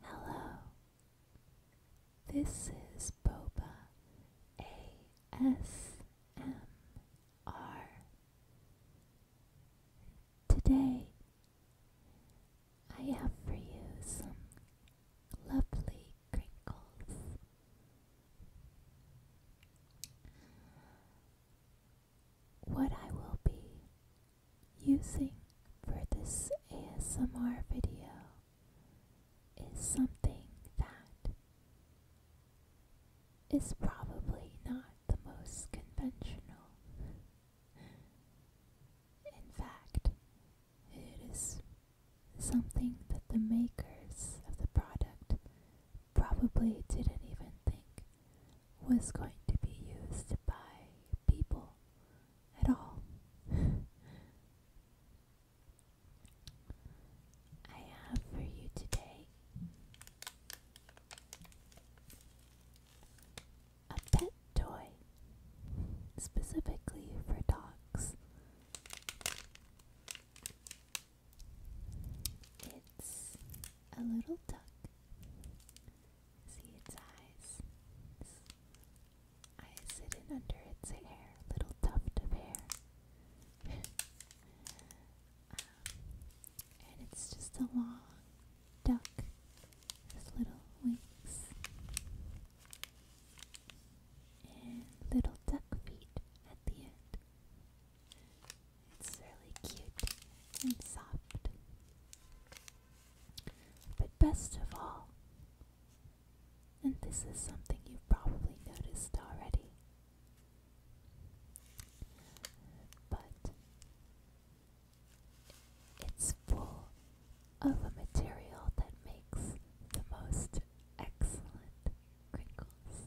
Hello, this is Boba ASMR. Today, I have for you some lovely crinkles. What I will be using for this ASMR video is something that is probably not the most conventional. In fact, it is something that the makers of the product probably didn't even think was going to be used by people at all. I have for you today a pet toy specifically for dogs. It's a little duck. See its eyes. Eyes hidden under its hair. Little tuft of hair. Um, and it's just a long duck with little wings and little duck feet at the end. It's really cute and soft. But best of all, and this is something you've probably noticed already, but it's full of a material that makes the most excellent crinkles.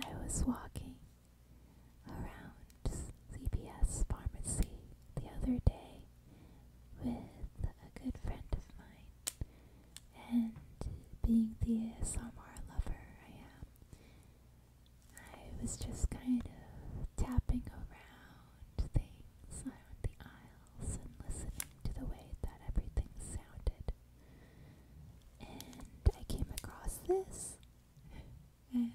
I was walking around CVS Pharmacy the other day with a good friend of mine, and being the ASMR lover I am, I was just kind of tapping around things on the aisle house and listening to the way that everything sounded. And I came across this and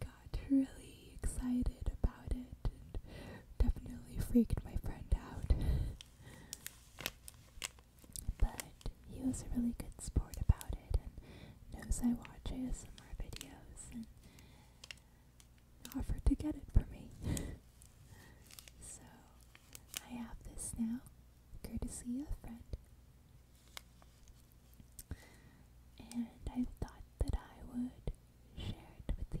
got really excited about it and definitely freaked my friend out. but he was a really good sport about it and knows I watch ASMR videos and offered to get it for me. so I have this now, Good to see a friend. And I thought that I would share it with you.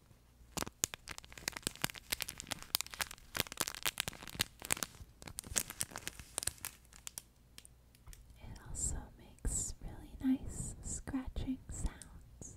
It also makes really nice scratching sounds.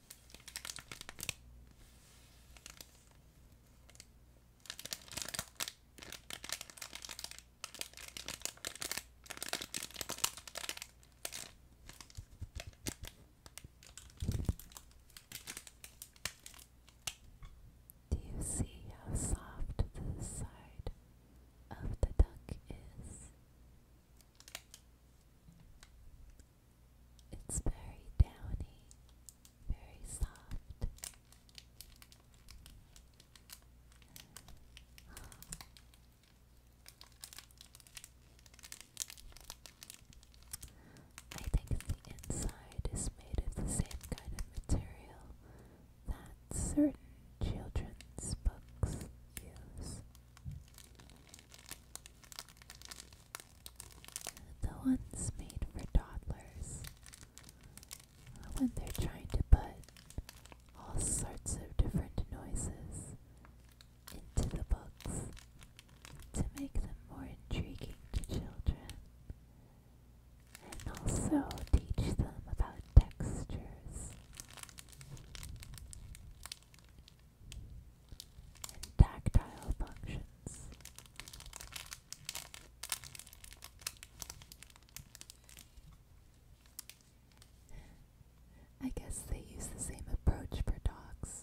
Do you see how soft the side of the duck is? It's very downy, very soft. I think the inside is made of the same kind of material that certain children's books use. The ones made for toddlers. When they're trying to put all sorts of different noises into the books to make them more intriguing to children and also teach them about textures tactile functions. I guess they use the same approach for dogs.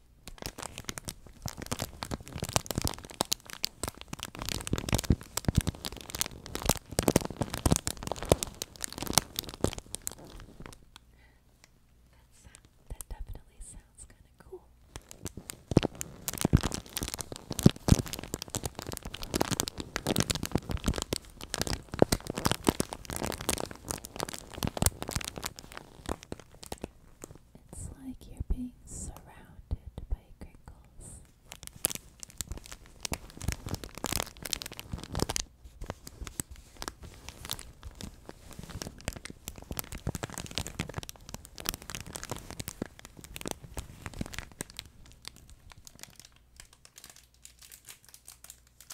that definitely sounds kind of cool. It's like you're being surrounded by crinkles.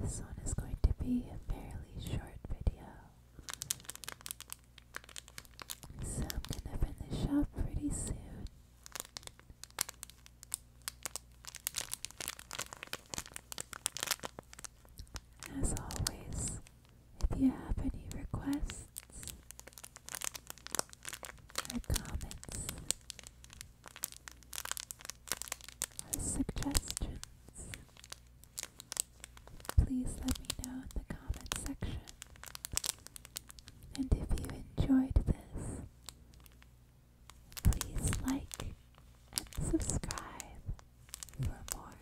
This one is going to be a fairly short video. So I'm gonna finish up pretty soon. As always, if you have any requests or comments, suggestions, please let me know in the comment section. And if you enjoyed this, please like and subscribe for more.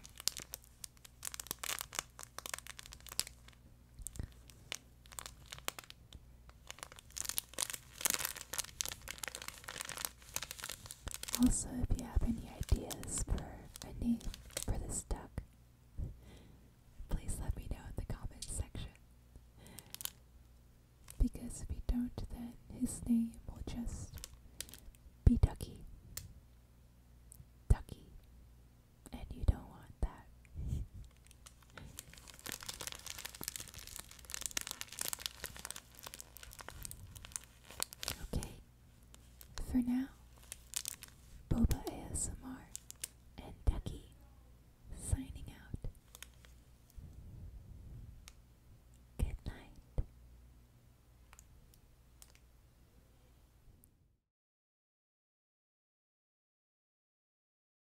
Also, if you have any ideas for a name for this duck, please let me know in the comments section. Because if we don't, then his name will just be Ducky. Ducky. And you don't want that. Okay, for now, Boba ASMR and Ducky signing out. Good night.